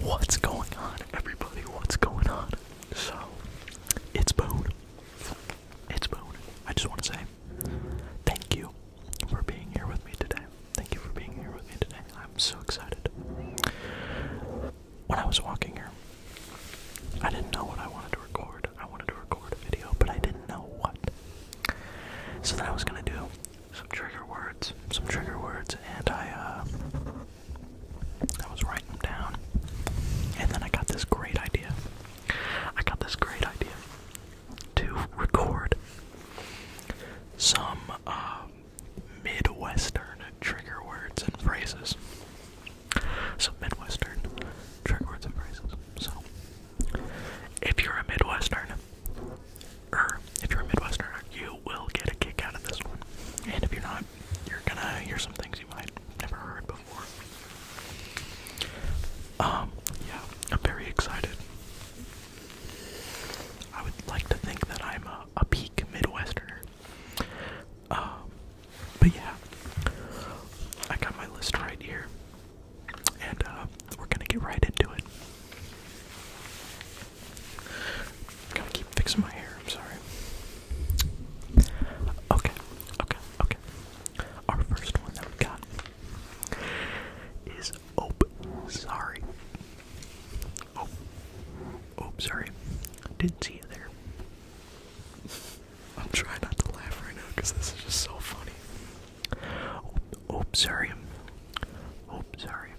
What's going on, everybody? What's going on? So, it's Boone. It's Boone. I just want to say thank you for being here with me today. Thank you for being here with me today. I'm so excited. When I was walking here, I didn't know what I wanted to record. I wanted to record a video, but I didn't know what. So, then I was going to do some trigger words, some trigger words, and I, uh, I was writing them down, and then I got this great idea. I got this great idea to record some um, Midwestern trigger words and phrases. Some Midwestern trigger words and phrases. So, if you're a Midwestern Er, if you're a Midwesterner, you will get a kick out of this one. And if you're not, you're gonna hear some things you might never heard before. Um, yeah, I'm very excited. I would like to think that I'm a, peak Midwesterner. Um, but yeah, I got my list right here, and uh, we're gonna get right into it. Gotta keep fixing my hair, I'm sorry. Okay, okay, okay. Our first one that we got is Oh Sorry. Oh, oh, sorry. Didn't see you there. I'm trying not to laugh right now because this is just so funny. Oh, oh sorry. Oh, sorry.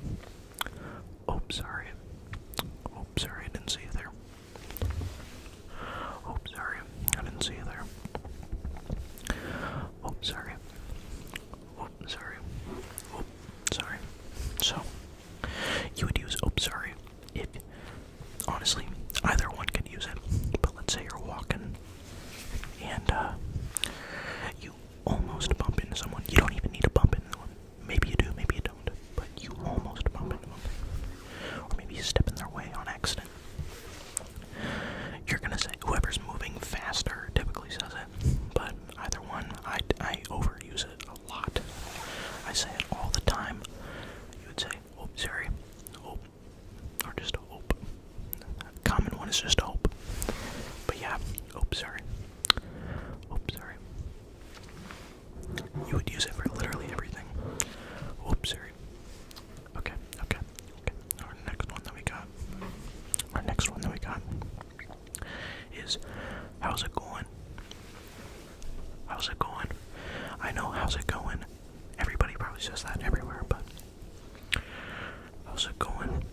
Oh, sorry. Oh, sorry, I didn't see you there. Oh, sorry, I didn't see you there. Oh, sorry. Oh, sorry. Oh, sorry. So, you would use oh, sorry if, honestly, either one could use it. But let's say you're walking and uh, you almost bump into someone. You don't even need to bump into someone. Maybe you do, maybe you don't. But you almost bump into someone, Or maybe you step in their way on accident. You're gonna say whoever's moving faster typically says it. But either one, I, I overuse it a lot. I say it all the time. You would say, oh, sorry. Oh. Or just hope common one is just hope. But yeah, hope, sorry. Hope, sorry. You would use it for literally everything. Hope, sorry. Okay, okay, okay. Our next one that we got, our next one that we got is how's it going? How's it going? I know how's it going. Everybody probably says that everywhere, but how's it going?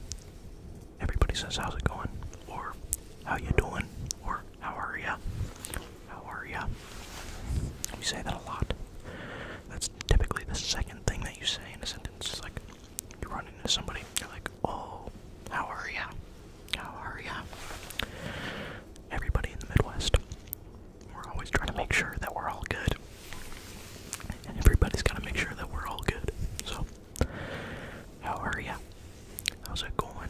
everybody says how's it going or how you doing or how are ya how are ya we say that a lot that's typically the second thing that you say in a sentence it's like you run into somebody you're like oh how are ya how are ya everybody in the midwest we're always trying to make sure that we're all good everybody's got to make sure that we're all good so how are ya? How's it going?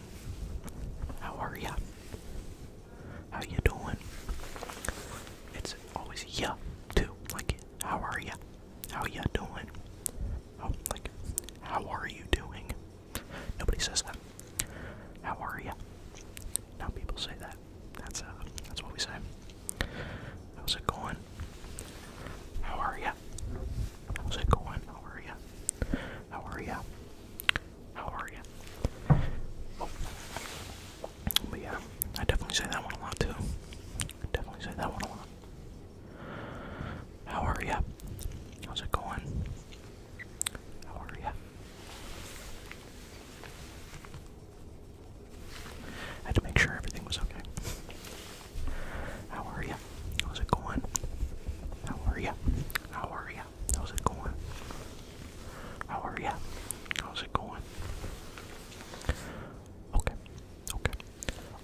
How are ya? How you doing? It's always ya too. Like how are ya? How ya doing? Oh, like how are you doing? Nobody says that. How are ya? Now people say that. That's uh, that's what we say. How's it going? How are ya? How's it going? How are ya? How are ya? How are ya? Oh. yeah, I definitely say that one a lot too. Definitely say that one a lot. How are ya? How's it going? How are ya? I had to make sure everything was okay. How are ya? How's it going? How are you? How are ya? How's it going? How are ya? How's it going? Okay, okay.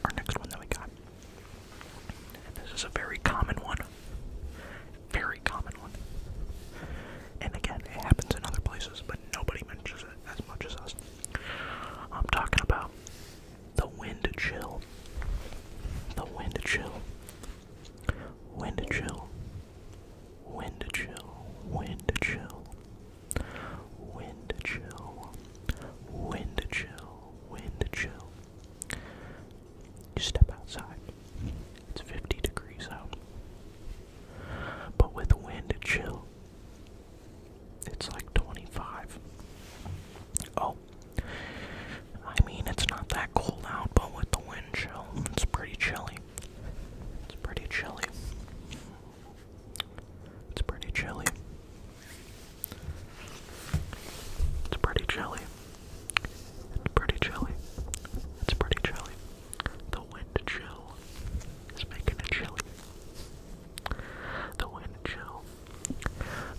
Our next one that we got. And this is a very common one. Very common one. And again, it happens in other places, but nobody mentions it as much as us. I'm talking about the wind chill. The wind chill. Wind chill. Wind chill. Wind chill. Wind chill. Wind chill. Wind chill. You step outside. It's 50 degrees out. But with wind chill, it's like 25. Oh. I mean, it's not that cold out, but with the wind chill, it's pretty chilly. It's pretty chilly. It's pretty chilly. It's pretty chilly. It's pretty chilly. It's pretty chilly. The wind chill is making it chilly. The wind chill.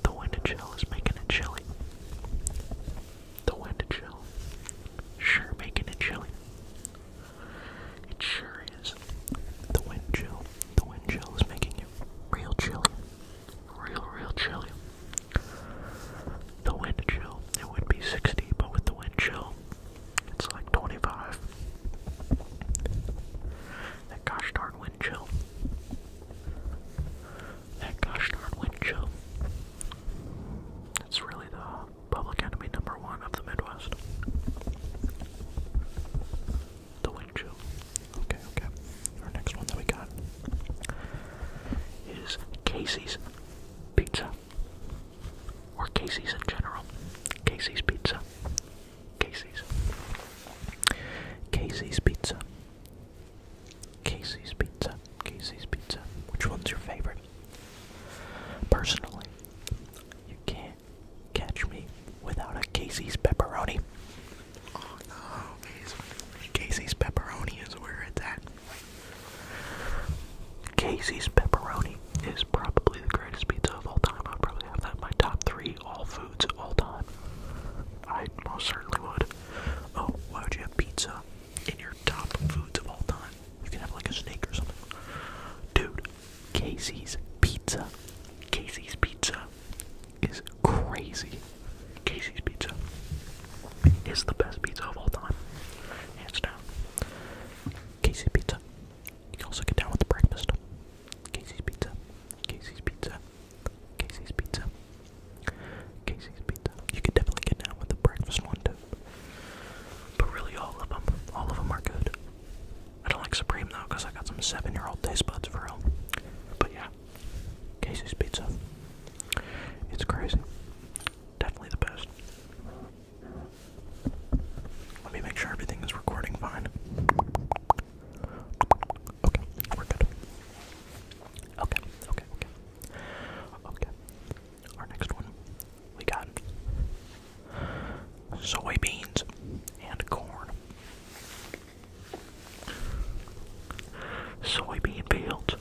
The wind chill is making it chilly. The wind chill. Sure making it chilly. It sure is. The wind chill. The wind chill is making it real chilly. Real, real chilly. The wind chill. It would be 60, but with the wind chill, it's like 25. That gosh darn wind chill. That gosh darn wind chill. It's really the public enemy number one of the Midwest. The wind chill. Okay, okay. Our next one that we got is Casey's Pizza. Or Casey's in general. Casey's Pizza. Casey's. Casey's Pizza. Casey's Pizza. Casey's Pizza. Which one's your favorite? Personally, you can't catch me without a Casey's Pepperoni. Oh no, Casey's Pepperoni is where it's at. Casey's Pepperoni is probably the greatest pizza of all time. I'd probably have that in my top three all foods all time. I most certainly would. Oh, why would you have pizza in your top foods of all time? You can have like a snake or something. Dude, Casey's Pizza. Casey's Pizza is crazy. Casey's Pizza is the best pizza of all time. Hands down. Casey's Pizza. You can also get down with the breakfast. Casey's Pizza, Casey's Pizza, Casey's Pizza, Casey's Pizza. You could definitely get down with the breakfast one too. But really, all of them, all of them are good. I don't like Supreme though, cause I got some seven-year-old taste buds for real. But yeah, Casey's Pizza. It's crazy. Definitely the best. Let me make sure everything is recording fine. Okay, we're good. Okay, okay, okay. Okay. Our next one we got soybeans and corn. Soybean fields,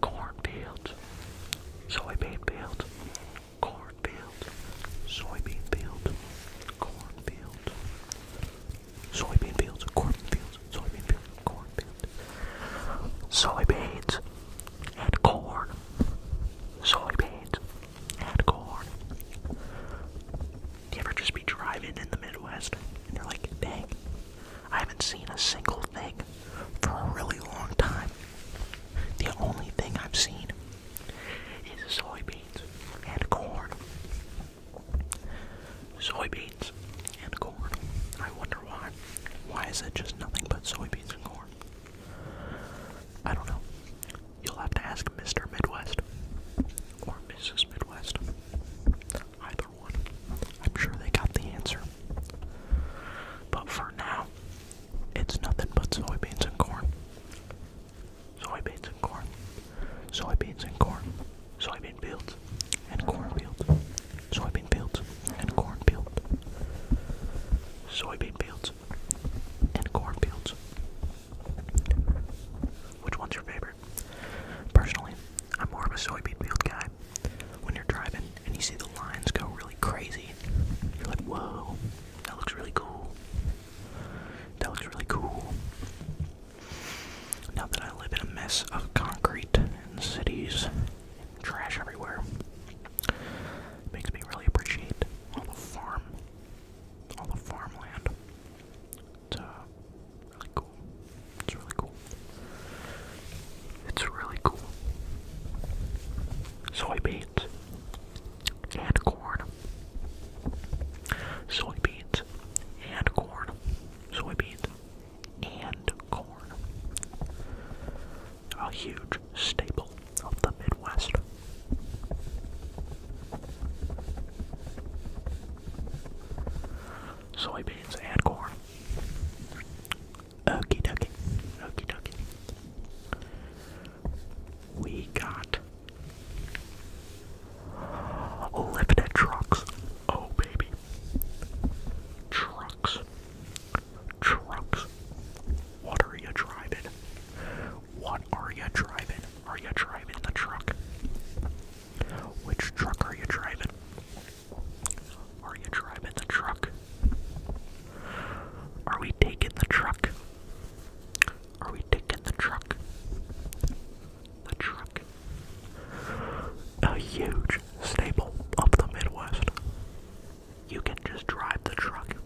corn fields, soybean fields, cornfield, soybean field, cornfield, soybean fields, corn fields, soybean fields, corn fields, soybeans and corn, soybeans and corn. You ever just be driving in the Midwest and you're like, dang, I haven't seen a single thing for a really long time. The only thing I've seen is soybeans and corn. Soybeans and corn. I wonder why. Why is it just nothing but soybeans and corn? I don't know. You'll have to ask Mr. Midwest or Mrs. Midwest. Either one. I'm sure they got the answer. But for now, it's nothing but soybeans and corn. Soybeans and corn. Soybeans and corn. Soybean fields and corn fields. Soybean fields and corn fields. Soybean fields and corn fields. Which one's your favorite? Personally, I'm more of a soybean field guy. When you're driving and you see the lines go really crazy. You're like, whoa, that looks really cool. That looks really cool. Now that I live in a mess of concrete and cities trash everywhere, it makes me really appreciate all the farm, all the farmland. It's uh, really cool. It's really cool. It's really cool. Soybeans and corn, soybeans, and corn, soybeans, and corn. A huge staple of the Midwest. Soybeans and corn. Okie dokie. Okie dokie. We got lifted trucks. Oh baby. Trucks. Trucks. What are you driving? What are you driving? Are you driving the truck? Which truck are you driving? Are you driving the truck? Are we taking the truck? Are we taking the truck? The truck. A huge staple of the Midwest. You can just drive the truck.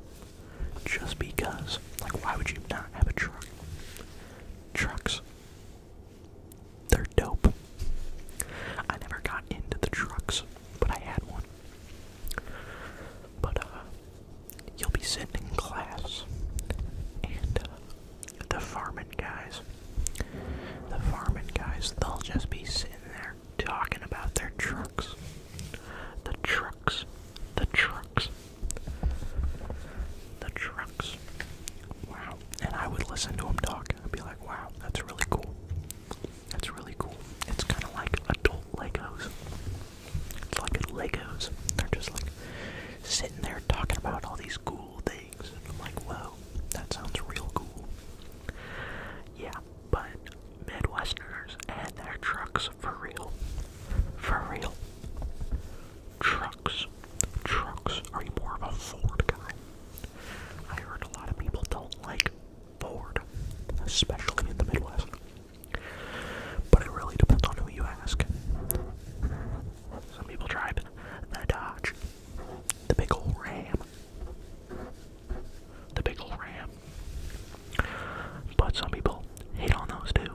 Just because. Like, why would you not have a truck? Trucks. They're dope. I never got into the trucks but I had one. But, uh, you'll be sitting in class, and, uh, the farming guys, the farming guys, they'll just be sitting there talking about their trucks. The trucks, the trucks, the trucks. Wow. And I would listen to them talk, I'd be like, wow, that's really cool. That's really cool. It's kind of like adult Legos. It's like Legos. They're just like sitting there talking about all these cool things. And I'm like, wow, that sounds real cool. Yeah, but Midwesterners and their trucks for real. For real. Trucks. Trucks. Are you more of a Ford guy? I heard a lot of people don't like forward, especially in the Midwest. But it really depends on who you ask. Some people drive the Dodge, the big old Ram, the big old Ram. But some people hate on those too.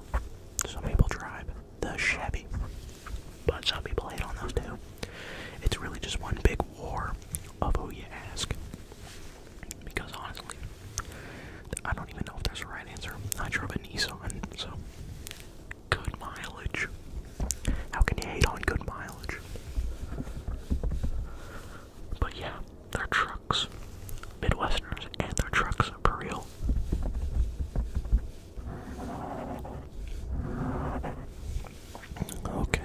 Some people drive the Chevy, but some people hate on those too. It's really just one big war of who you ask. Because honestly, I don't even know if there's a right answer. I drove a Nissan, so good mileage. How can you hate on good mileage? But yeah, their trucks, Midwesterners, and their trucks are for real. Okay.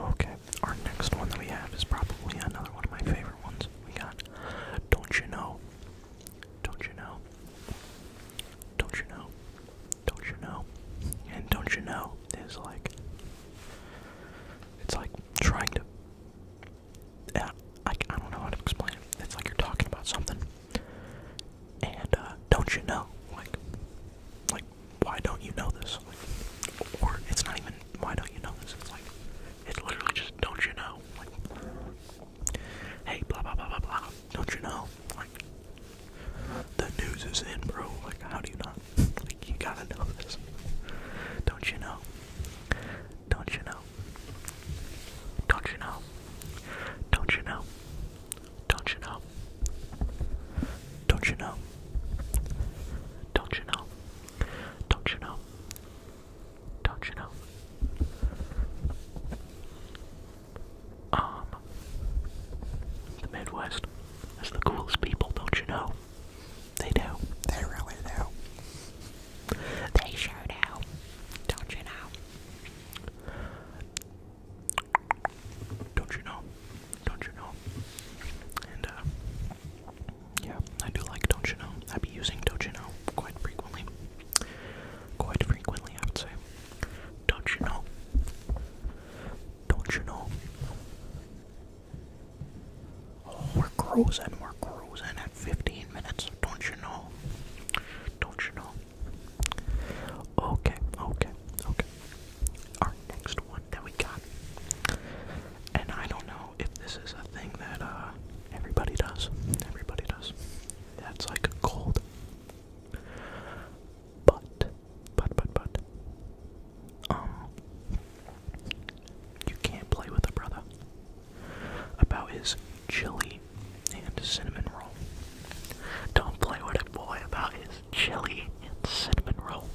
Okay our next one that we have is probably another one of my favorite ones. We got Don't You Know? Don't You Know? Don't You Know? Don't You Know? And Don't You Know is like. It's like trying to. Yeah, uh, I, I don't know how to explain it. It's like you're talking about something. And, uh, don't you know? Like, like why don't you know this? or it's not even why don't you know this? It's like it's literally just don't you know? Like, hey, blah blah blah blah blah. Don't you know? Like, the news is in, bro. Like, how do you not? Like, you gotta know this. Don't you know? Don't you know? Don't you know? Don't you know? Don't you know? Don't you know? Don't you know? Don't you know? Don't you know? Um, the Midwest is the coolest people, don't you know? They do. They really do. They sure do. Don't you know? Don't you know? Don't you know? And uh, yeah, I do like Don't You Know. I be using Don't You Know quite frequently. Quite frequently, I would say. Don't you know? Don't you know? Oh, we're cruising, we're cruising at 15 minutes. Don't you know? Don't you know? Okay, okay, okay our next one that we got. And I don't know if this is a thing that uh, everybody does. Everybody does. That's like a cold. But, but, but, but, um, you can't play with a brother about his chili and cinnamon roll. Don't play with a boy about his chili and cinnamon roll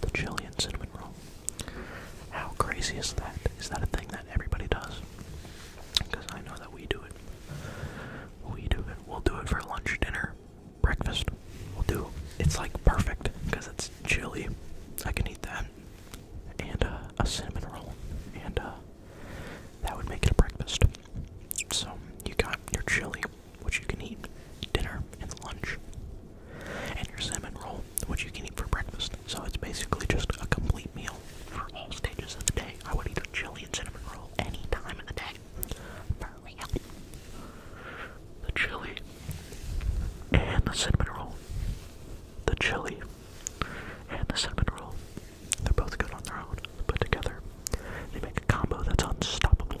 the chili and cinnamon roll. How crazy is that? Is that a thing that everybody does? Because I know that we do it. We do it. We'll do it for lunch, dinner, breakfast. We'll do. It's like perfect because it's chili. I can eat that. And uh, a cinnamon roll. And uh, that would make it a breakfast. So you got your chili, which you can eat dinner and lunch, and your salmon roll, which you can eat for breakfast. So it's basically just a complete meal for all stages of the day. I would eat a chili and cinnamon roll any time of the day. For The chili and the cinnamon roll. The chili and the cinnamon roll. They're both good on their own, but together they make a combo that's unstoppable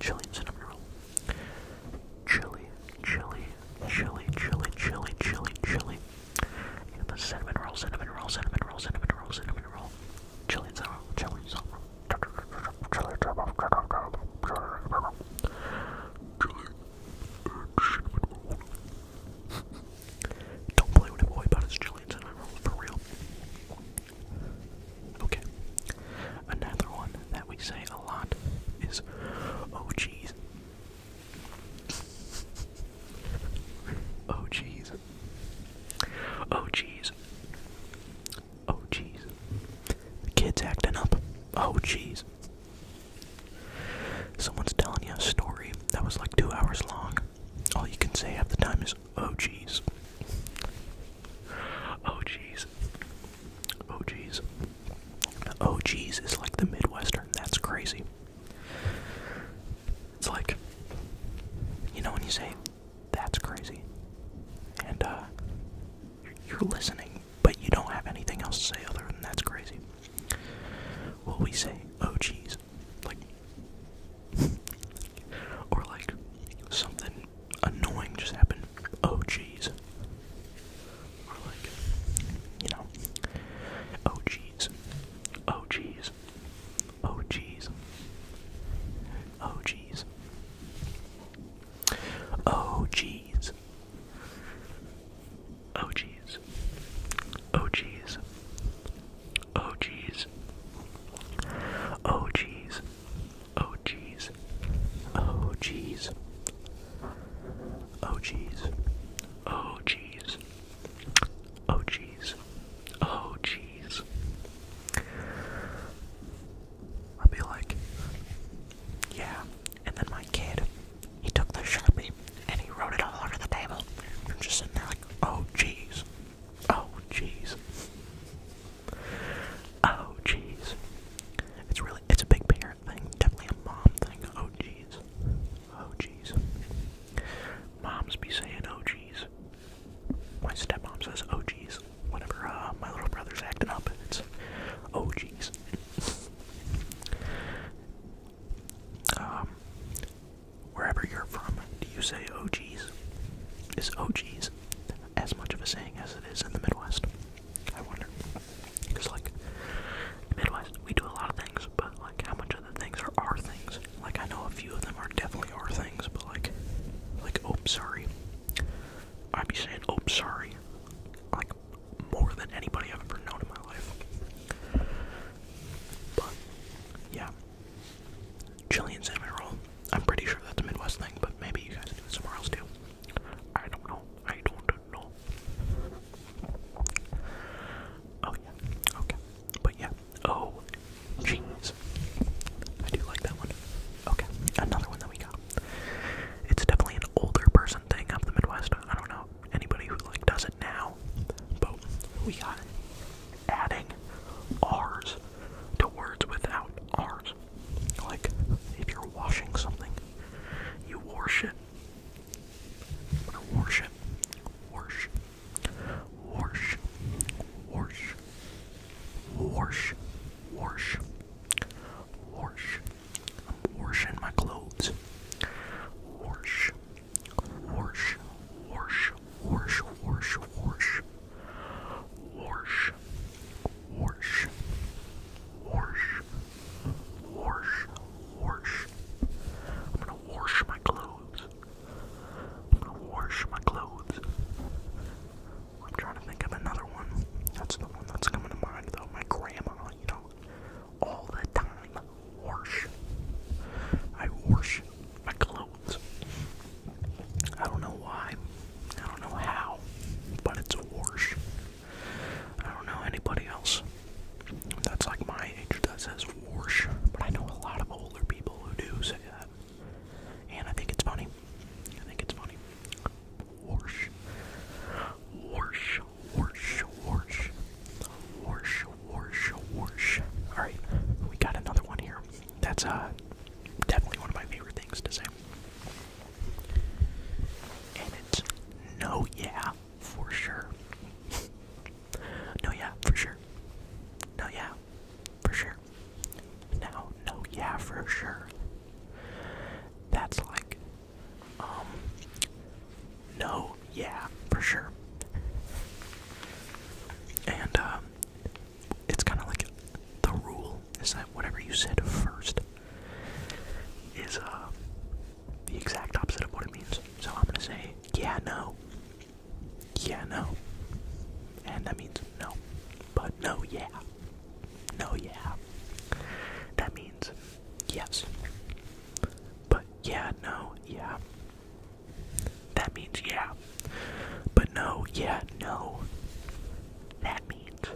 Chilean's in a mural. Chili, chili, chili, chili, chili, chili, chili. And the cinnamon roll, cinnamon roll, cinnamon roll, cinnamon roll, cinnamon roll. Chilean's in a Chili, chili, cinnamon Don't play with a boy about his Chilean's in a roll, for real. Okay. Another one that we say a lot is, oh jeez. Oh jeez. Oh jeez. Oh jeez. The kid's acting up. Oh jeez. Someone's telling you a story that was like two hours long. All you can say at the time is, oh jeez. Oh jeez, Oh jeez, Oh jeez is like the Midwestern. That's crazy. It's like, you know, when you say, that's crazy, and uh, you're, listening, but you don't have anything else to say other than that's crazy. Well, we say, oh jeez," like, or like something annoying just happened. Oh jeez. Or like you know. Oh jeez. Oh jeez. Oh jeez. Oh jeez. Oh jeez. Oh jeez. Oh jeez. Oh jeez. Oh jeez. Oh jeez. Oh jeez. Oh jeez. Oh jeez. Oh jeez. I'll be like, yeah. And then my kid, he took the sharpie and he wrote it all over the table. I'm just sitting there like, oh jeez. Oh jeez. Oh jeez. It's really it's a big parent thing, definitely a mom thing. Oh jeez. Oh jeez. Moms be saying oh jeez. My stepmom says oh jeez. Whenever uh, my little brother's acting up, it's oh jeez. um Wherever you're from, do you say oh geez? It's oh geez as much of a saying as it is in the Midwest. I wonder. Because, like, Midwest, we do a lot of things, but, like, how much of the things are our things? Like, I know a few of them are definitely our things, but, like, like, oh, sorry. i be saying, oh, sorry, like, more than anybody I've ever known in my life. But, yeah chili and cinnamon roll. I'm pretty sure that's a Midwest thing, but maybe you guys do it somewhere else too. I don't know. I don't know. Oh yeah. Okay. But yeah. Oh, jeez. I do like that one. Okay. Another one that we got. It's definitely an older person thing up the Midwest. I don't know anybody who like does it now, but we got Adding R's to words without R's. Like, if you're washing something, you wash it. Wash Wash. Wash. Wash. Wash. Wash. Wash. I'm washing my clothes. Wash. Wash. Wash. Warsh, warsh, warsh. Warsh. Warsh. Warsh. Warsh. Warsh. I'm gonna wash my clothes. I'm gonna wash my clothes. I'm trying to think of another one. That's the one that's coming to mind though. My grandma, you know. All the time. Wash. I wash, my clothes. I don't know why. I don't know how. But it's worse. I don't know anybody else that's like my age that says Warsh, but I know a lot of older people who do say that. And I think it's funny. I think it's funny. Warsh. Warsh. Warsh. Warsh. Warsh. Warsh. Warsh. Alright, we got another one here. That's uh, definitely one of my favorite things to say. And it's no, yeah, for sure. no, yeah, for sure. No, yeah, for sure. Now, no, yeah, for sure. That's like, um, no, yeah, for sure. And, um, it's kind of like the rule is that whatever you said first is uh, the exact opposite of what it means. So I'm gonna say, yeah, no. Yeah, no. And that means no. But no, yeah. No, yeah. That means yes. But yeah, no, yeah. That means yeah. But no, yeah, no. That means no.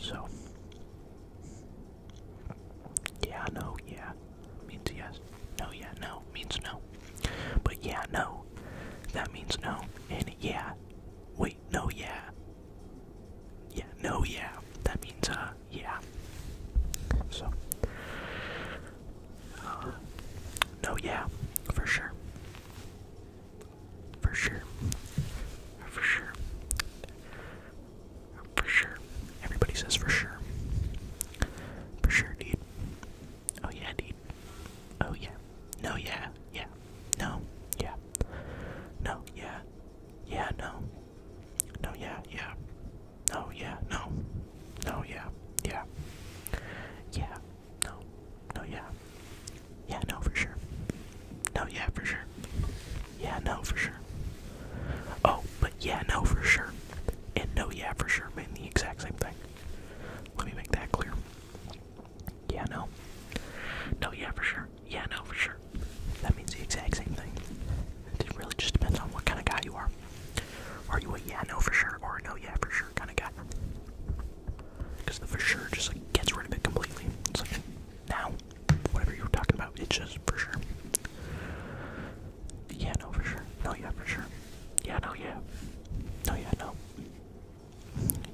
So, yeah, no, yeah means yes. No, yeah, no means no. But yeah, no, that means no. And yeah, wait, no, yeah. Yeah, no, yeah, that means uh, yeah. So, um, no, yeah, for sure. For sure. For sure. For sure. Everybody says for sure. For sure, dude. Oh, yeah, dude. Oh, yeah. No, yeah. Yeah. No. Yeah. No, yeah. Yeah, no. No, yeah, yeah. No, yeah, no. No, yeah, yeah. Yeah, no. No, yeah. Yeah, no, for sure. No, yeah, for sure. Yeah, no, for sure. Oh, but yeah, no, for sure. And no, yeah, for sure mean the exact same thing. Let me make that clear. Yeah, no. No, yeah, for sure. Yeah, no, for sure. That means the exact same thing. It really just depends on what kind of guy you are. Are you a yeah, no for sure, or a no, yeah for sure kind of guy? Because the for sure just like gets rid of it completely. It's like now, whatever you were talking about, it's just for sure. Yeah, no for sure. No, yeah for sure. Yeah, no, yeah. No, yeah, no.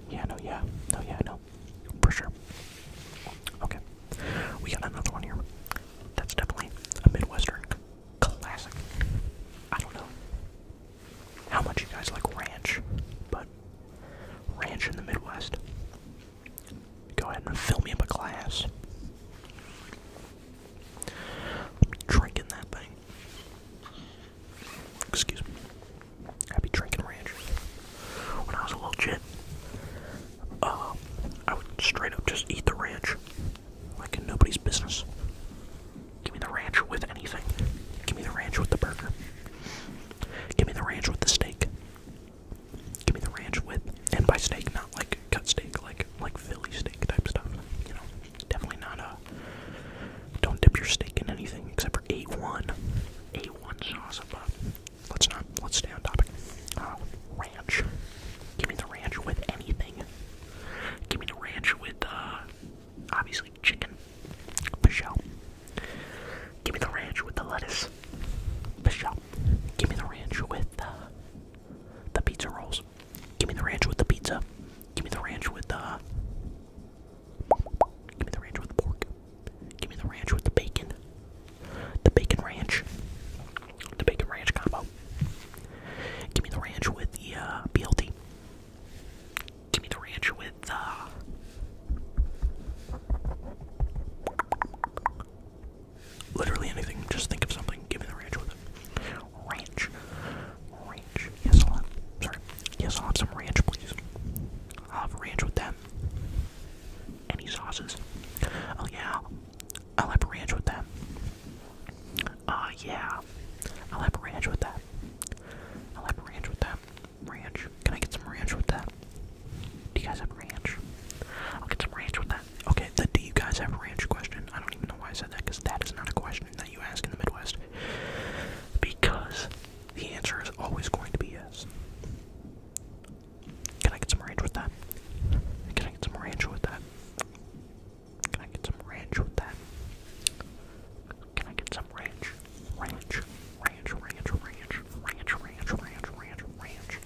Yeah, no, yeah. No, yeah, no. For sure. Okay. We got another one here. That's definitely a Midwestern classic. I don't know how much you guys like ranch, but ranch in the Midwest. Go ahead and fill me up a glass. drinking that thing. Excuse me. I'd be drinking ranch. When I was a little kid, uh, I would straight up just eat the ranch. Like nobody's business. Give me the ranch with anything. Give me the ranch with the burger. Give me the ranch with the steak. Give me the ranch with, and by steak, not like cut steak, like like Philly steak type stuff. You know, definitely not a. Uh, don't dip your steak in anything except for A1, A1 sauce. But let's not. Let's stay on topic. Uh, ranch. Give me the ranch with anything. Give me the ranch with, uh, obviously chicken. Michelle. Give me the ranch with the lettuce. Michelle. Give me the ranch with uh, the pizza rolls. Give me the ranch with the pizza. Give me the ranch with the. Uh, give me the ranch with the pork. Give me the ranch with the bacon. The bacon ranch the bacon ranch combo. Give me the ranch with the uh, BLT. Give me the ranch with uh, literally anything. Just think of something. Give me the ranch with it. Ranch, ranch. Yes, I'll have. Sorry. Yes, I'll have some ranch, please. I'll have ranch with them. Any sauces? Oh yeah, I'll have ranch with that. Uh, yeah. I'll have ranch with that. I'll have ranch with that. Ranch. Can I get some ranch with that? Do you guys have ranch? I'll get some ranch with that. Okay, the do you guys have ranch question? I don't even know why I said that because that is not a question that you ask in the Midwest. Because the answer is always going to be yes. Can I get some ranch with that? Can I get some ranch with that? Can I get some ranch with that? Can I get some ranch? Ranch, ranch, ranch, ranch, ranch, ranch, ranch, ranch,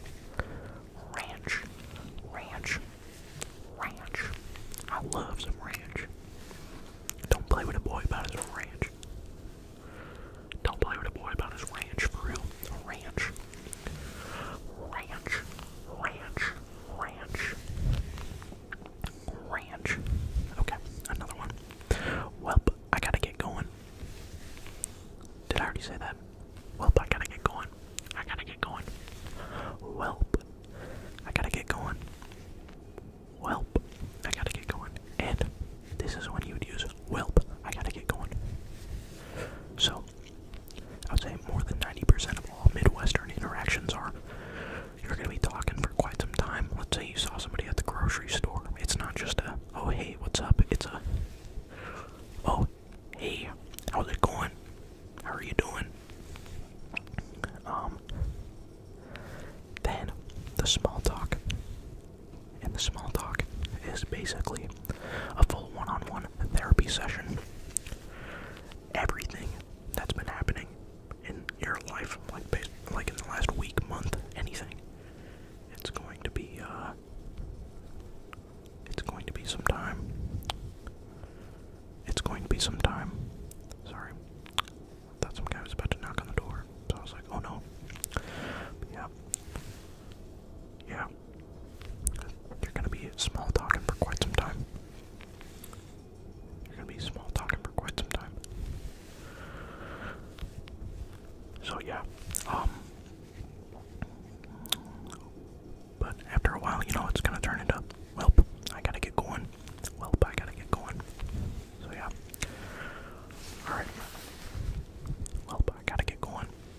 ranch, ranch, ranch, I love some ranch. Don't play with a boy about his ranch. Don't play with a boy about his ranch for real. Ranch. Ranch. Ranch. Ranch. Ranch. Okay, another one. Welp, I gotta get going. Did I already say that? Welp, I gotta get going. I gotta get going. Welp, I gotta get going. Welp, I gotta get going. And this is when you would use Welp, I gotta get going. So, I would say more than 90% of all Midwestern interactions are. You're going to be talking for quite some time. Let's say you saw somebody at the grocery store. It's not just a, oh hey, what's up? It's a, oh hey, how's it going? How are you doing? Um, then the small talk. And the small talk is basically a full one on one therapy session everything that's been happening in your life, like like in the last week, month, anything. It's going to be uh it's going to be some time. It's going to be some time. Sorry. I some guy was about to knock on the door. So I was like, oh no. yeah. Yeah. You're gonna be small talking for quite some time. You're gonna be small talking for quite some time. So yeah, um, but after a while, you know, it's gonna turn into, well, I gotta get going. Well, I gotta get going. So yeah. Alright. Well, I gotta get going.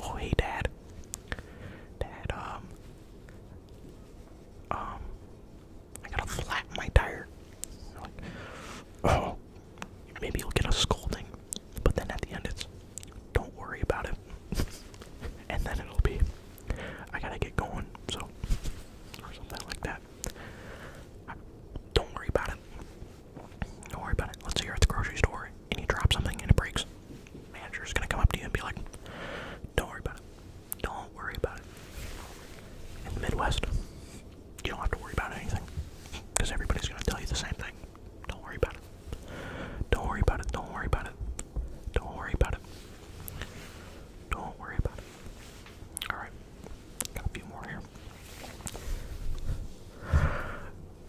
Oh hey dad. Dad, um Um I gotta flat my tire. oh maybe you'll get a scolding. But then at the end it's don't worry about it. and then it'll be I gotta get going, so or something like that. Don't worry about it. Don't worry about it. Let's say you're at the grocery store and you drop something and it breaks. Manager's gonna come up to you and be like, Don't worry about it. Don't worry about it. In the Midwest, you don't have to worry about anything. Because everybody's gonna tell you the same thing. Don't worry about it. Don't worry about it. Don't worry about it. Don't worry about it. Don't worry about it. Alright. Got a few more here.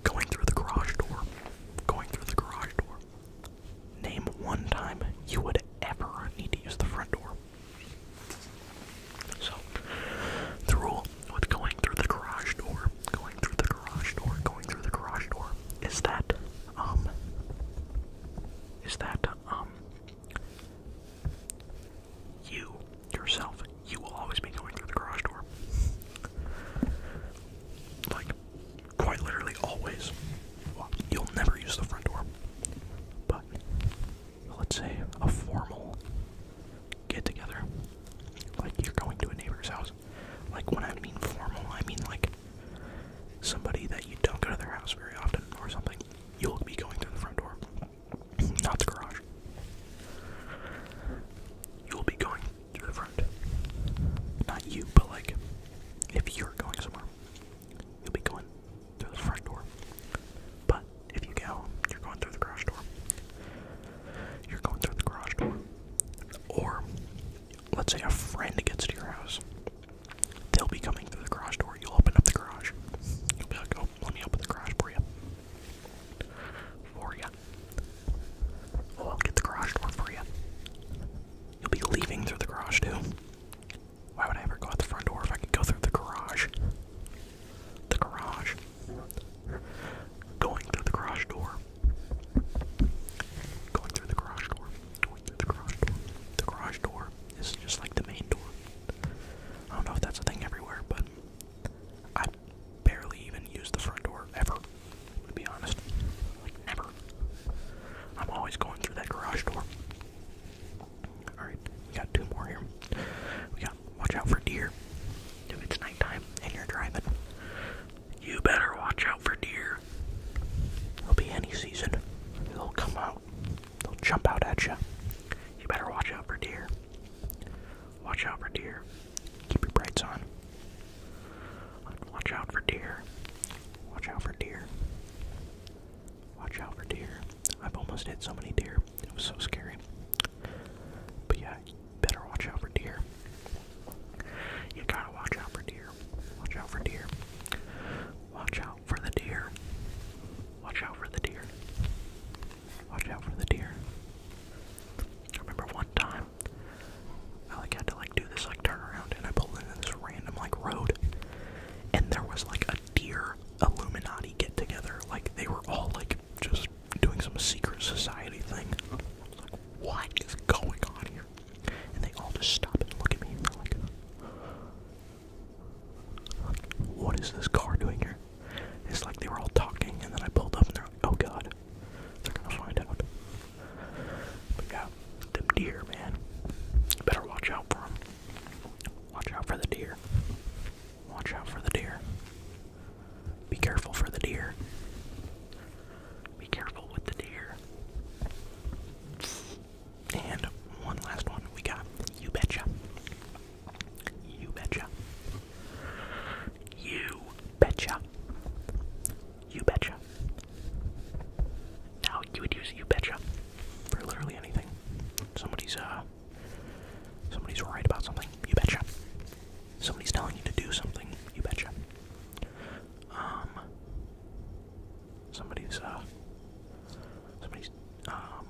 Going through the garage door. Going through the garage door. Name one time you would ever need to use the front door. So, the rule with going through the garage door, going through the garage door, going through the garage door is that, um, is that, um, you yourself you will always be going through the garage door. Like, quite literally always. you'll never use the front door. But, let's say a formal get together. Like, you're going to a neighbor's house. Like, when I mean formal, I mean like somebody that you don't go to their house very often or something. You'll be going through the front door not the garage. You'll be going through the front. Not you, but like, if you're going somewhere, you'll be going through the front door. But if you go, you're going through the garage door. You're going through the garage door. Or, let's say a friend gets to your house. They'll be coming through the garage door. You'll open up the garage. You'll be like, oh, let me open the garage for you. For you. Oh, I'll get the garage door for you. You'll be leaving through the garage too. Why would I ever go out the front door if I could go through the garage? The garage. Going through the garage door. Going through the garage door. Going through the garage The garage door is just like the main door. I don't know if that's a thing everywhere, but I barely even use the front door ever, to be honest. Like, never. I'm always going through that garage door. Alright, we got two more here. We got watch out for deer. If it's nighttime and you're driving, you better watch out for deer. It'll be any season. They'll come out, they'll jump out at you. You better watch out for deer. Watch out for deer. Keep your brights on. Watch out for deer. Watch out for deer. Watch out for deer. I've almost hit so many deer. It was so scary. But yeah, better watch out for deer. You gotta watch out for deer. Watch out for deer. Watch out for the deer. Watch out for the deer. Watch out for the deer. I remember one time I like had to like do this like turn around and I pulled into this random like road and there was like a deer Illuminati get together. Like they were all like just doing some secret society thing. Like what is going on here? And they all just stop and look at me they're like what is this car doing here? It's like they were all talking, and then I pulled up, and they're like, "Oh God, they're gonna find out." But yeah, them deer, man. better watch out for them. Watch out for the deer. Watch out for the deer. Be careful for the deer. Be careful with the deer. And one last one we got. You betcha. You betcha. You betcha. You betcha. Now you would use you betcha for literally anything. Somebody's uh somebody's right about something, you betcha. Somebody's telling you to do something, you betcha. Um somebody's uh somebody's um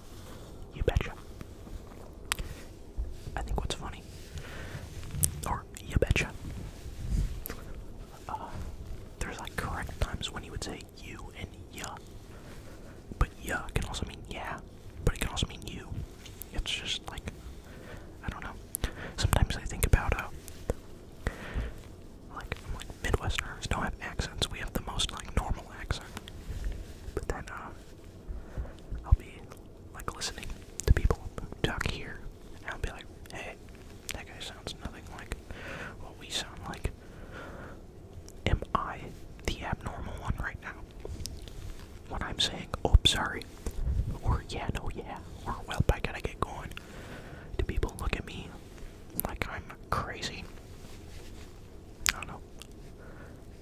You betcha. I think what's funny, or you betcha, uh, there's like correct times when you would say you and ya. But ya can also mean yeah, but it can also mean you. It's just like, I don't know. Sometimes I think about, uh, like, like Midwesterners don't have accents. We have the most like normal accent. But then, uh, I'll be like listening to people talk here, and I'll be like, hey, that guy sounds nothing like what we sound like. Am I the abnormal one right now? What I'm saying, oh, sorry, or yeah, no, yeah, or well, I gotta get going, do people look at me like I'm crazy? I don't know.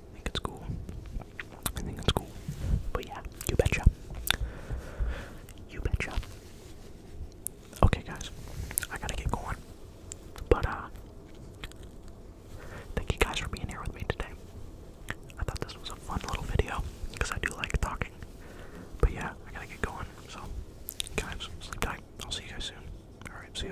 I think it's cool. I think it's cool. But yeah, you betcha. You betcha. Okay, guys, I gotta get going. But, uh, thank you guys for being here with me today. I thought this was a fun little video because I do like talking. But yeah, I gotta get going. So, guys, sleep tight. I'll see you guys soon. Alright, see you.